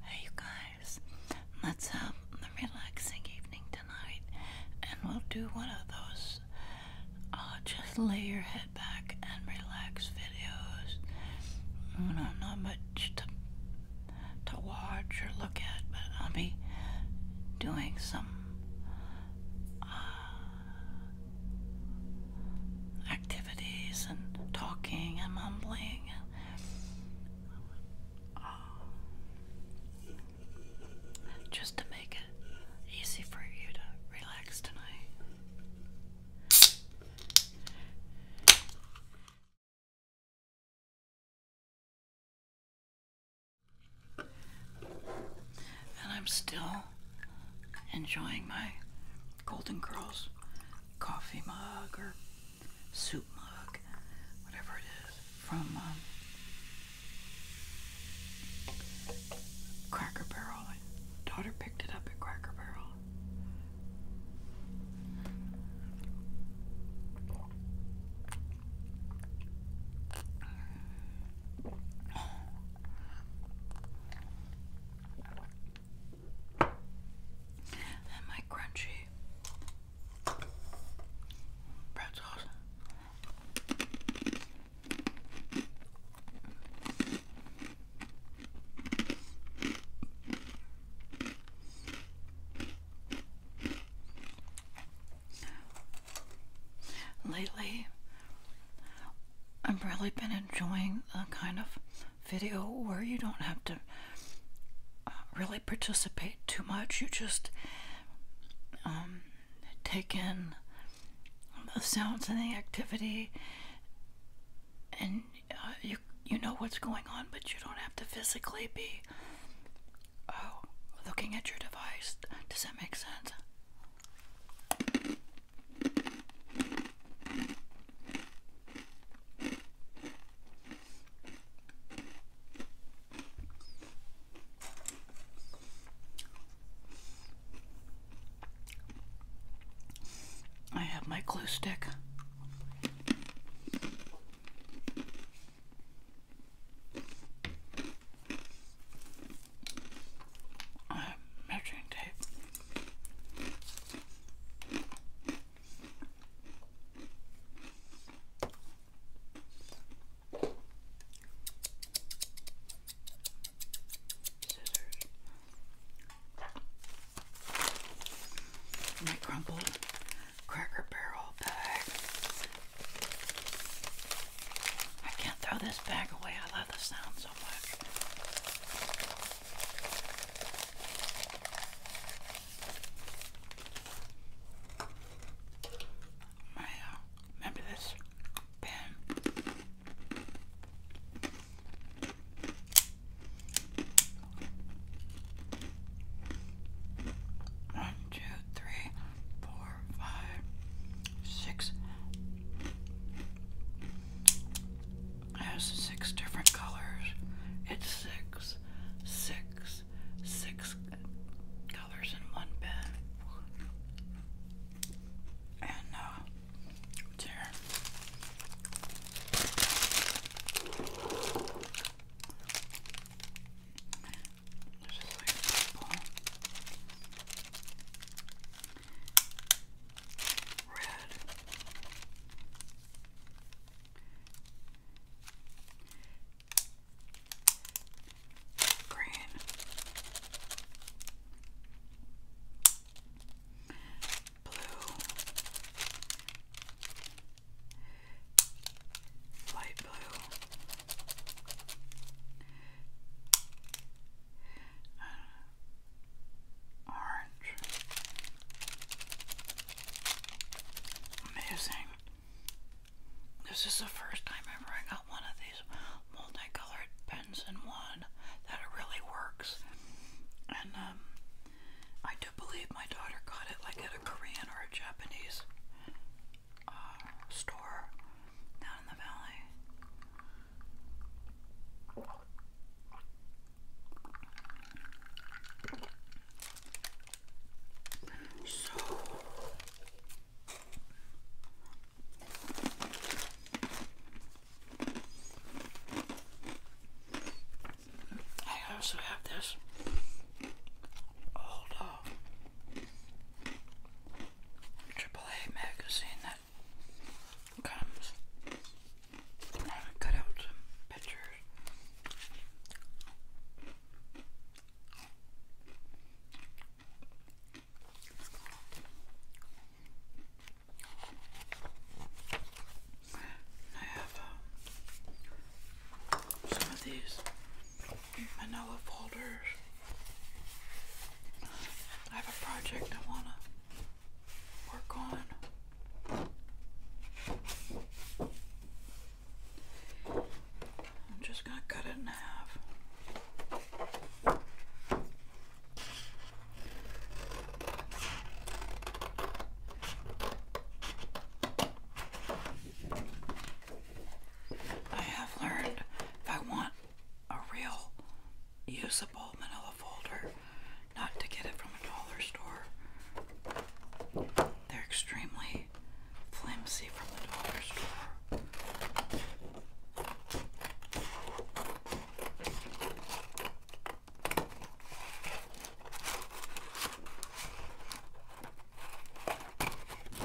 Hey, you guys, let's have a relaxing evening tonight, and we'll do one of those I'll uh, just lay your head back and relax videos. You mm, know, not much to, watch or look at, but I'll be doing some uh, activities and talking and mumbling um, just to make it easy for you to relax tonight. And I'm still enjoying my Golden Girls coffee mug or soup mug, whatever it is, from um, Cracker Barrel. daughter picked it up at Cracker Barrel. And my crunchy pretzels. Lately, I've really been enjoying the kind of video where you don't have to uh, really participate too much. You just um, take in the sounds and the activity, and uh, you you know what's going on, but you don't have to physically be uh, looking at your device. Does that make sense? I have my glue stick. I have measuring tape. My crumpled cracker barrel bag. I can't throw this bag away. I love the sound so much. My, uh, remember this pen? One, two, three, four, five, six has six different colors. It's six, six, six colors in one pen. And uh, red. Green. Blue. Light blue orange. Amazing. This is the first time ever I got one of these multicolored pens in one that it really works. And um, I do believe my daughter got it like at a Korean or a Japanese uh, store down in the valley. So I also have this old uh, magazine that comes. I cut out some pictures. I have um, some of these manila folders. I have a project I want to work on. I'm just going to cut it in half. I have learned I want a real usable manila telefolder, not to get it from a dollar store. They're extremely flimsy from the dollar store.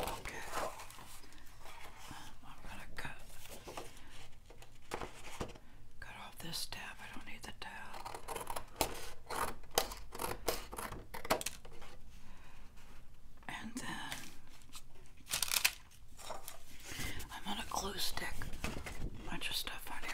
Okay. I'm going to cut Cut off this tab. I don't need the tab. And then I'm on a glue stick. Bunch of stuff on here.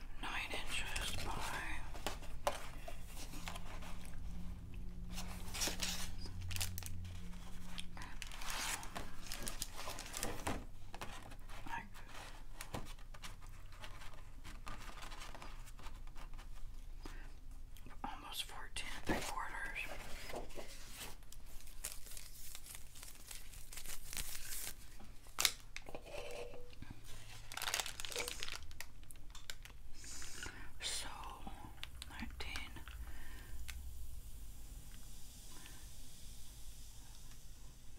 9 inches by almost 14 quarters. So nineteen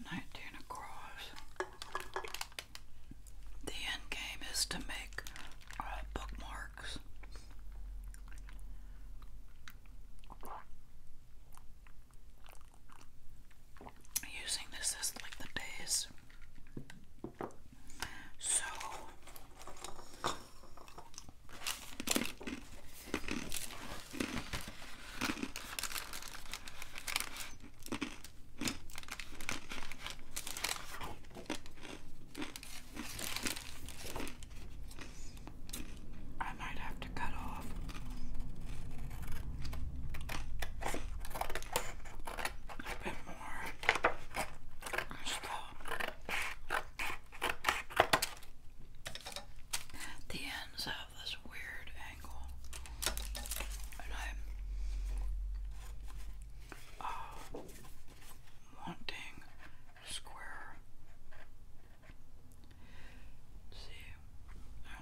nineteen across. The end game is to make uh, bookmarks. Using this as like the days. So I might have to cut off. The ends have this weird angle, and I'm uh, wanting square. See, um,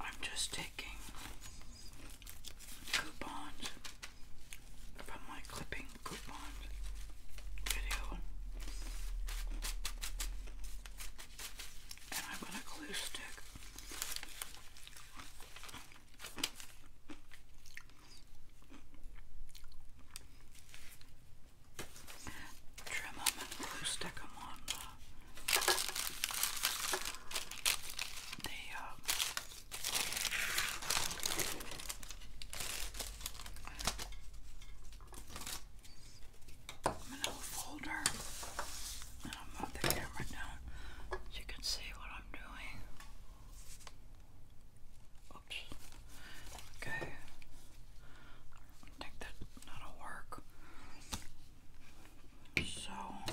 I'm just taking coupons from my clipping coupon video. And I've got a glue stick. Trim them and glue stick them on the, uh, I'm in a folder and I'll move the camera down you can see what I'm doing. Oops. Okay. I think that that'll work. So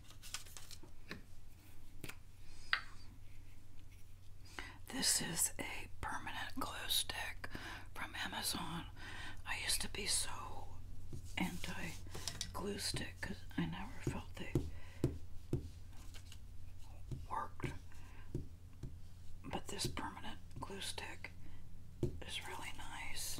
This is a permanent glue stick from Amazon. I used to be so anti glue stick because I never felt they worked. But this permanent glue stick is really nice.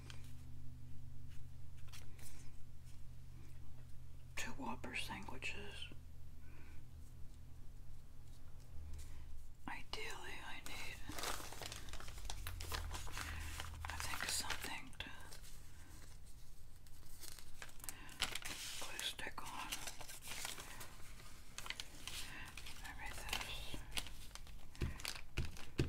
two Whopper sandwiches. Ideally, I need, I think, something to put stick on. Maybe this.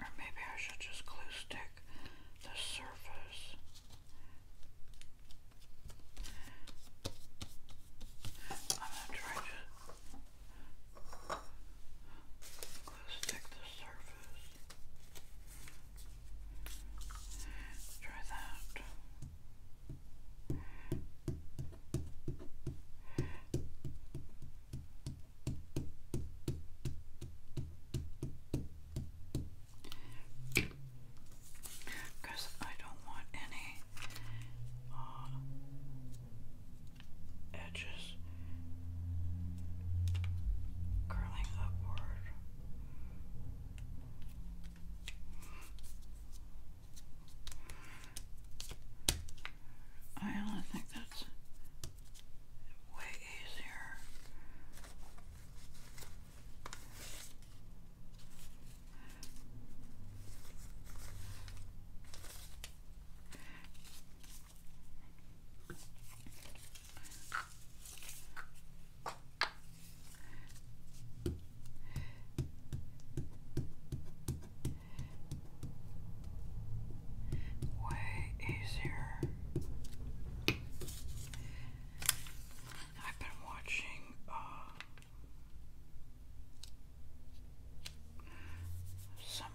Or maybe I should just glue stick the surface. I'm going to try to glue stick the surface. Try that. Because I don't want any uh, edges curling upward. I only think that's way easier way easier. I've been watching uh, some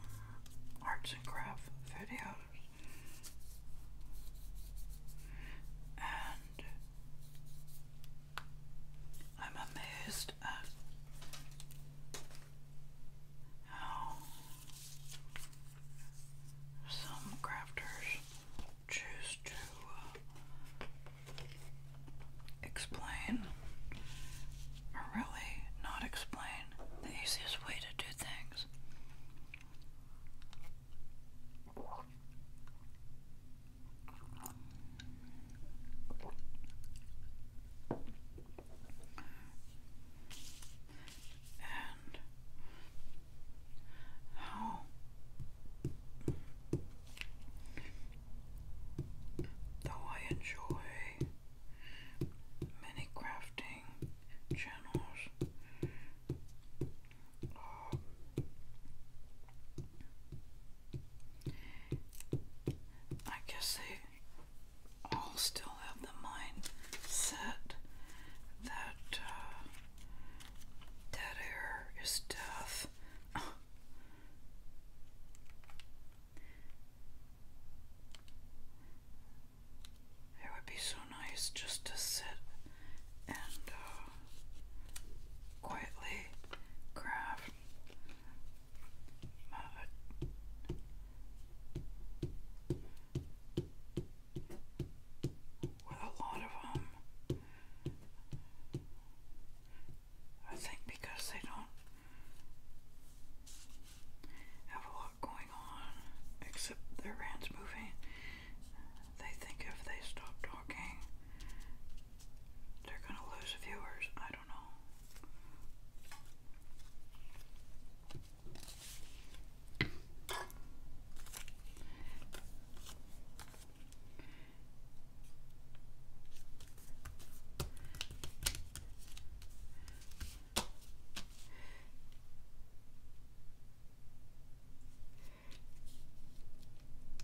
arts and craft videos, I'm amazed at how some crafters choose to uh, explain or really not explain the easiest way to do things. And how oh, though I enjoy many crafting channels. I guess they all still have the mind set that uh, dead air is death. It would be so nice just to sit and uh, quietly craft with a lot of them, um, I think because they don't have a lot going on except their hands moving, they think if they stop talking, they're gonna lose viewers. I don't know.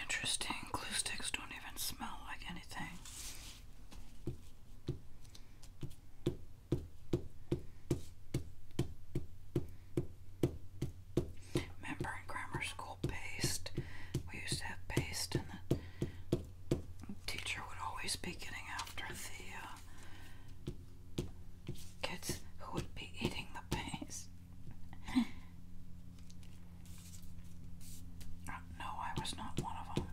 Interesting, glue sticks don't even smell like anything. Remember in grammar school paste? We used to have paste, and the teacher would always be getting after the uh, kids who would be eating the paste. Uh, no, I was not one of them.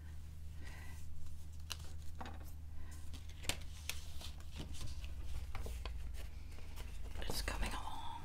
It's coming along.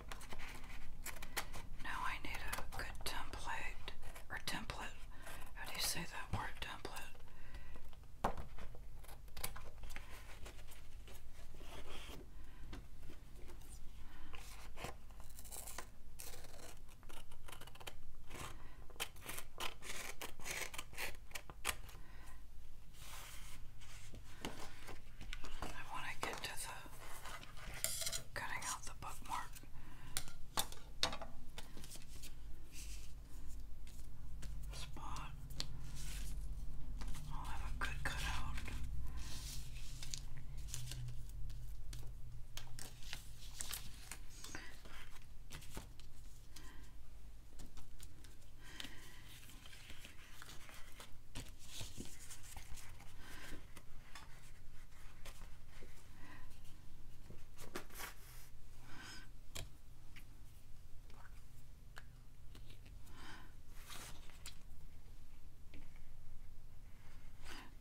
Now I need a good template or template. How do you say that word template? I want to get to the cutting out the bookmark. Spot. I'll have a good cutout.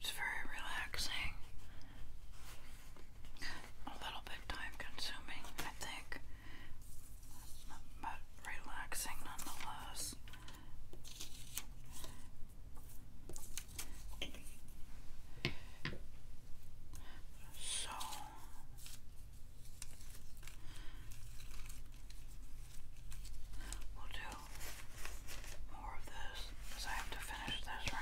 It's very relaxing. A little bit time consuming, I think, but relaxing nonetheless. So we'll do more of this because I have to finish this, right?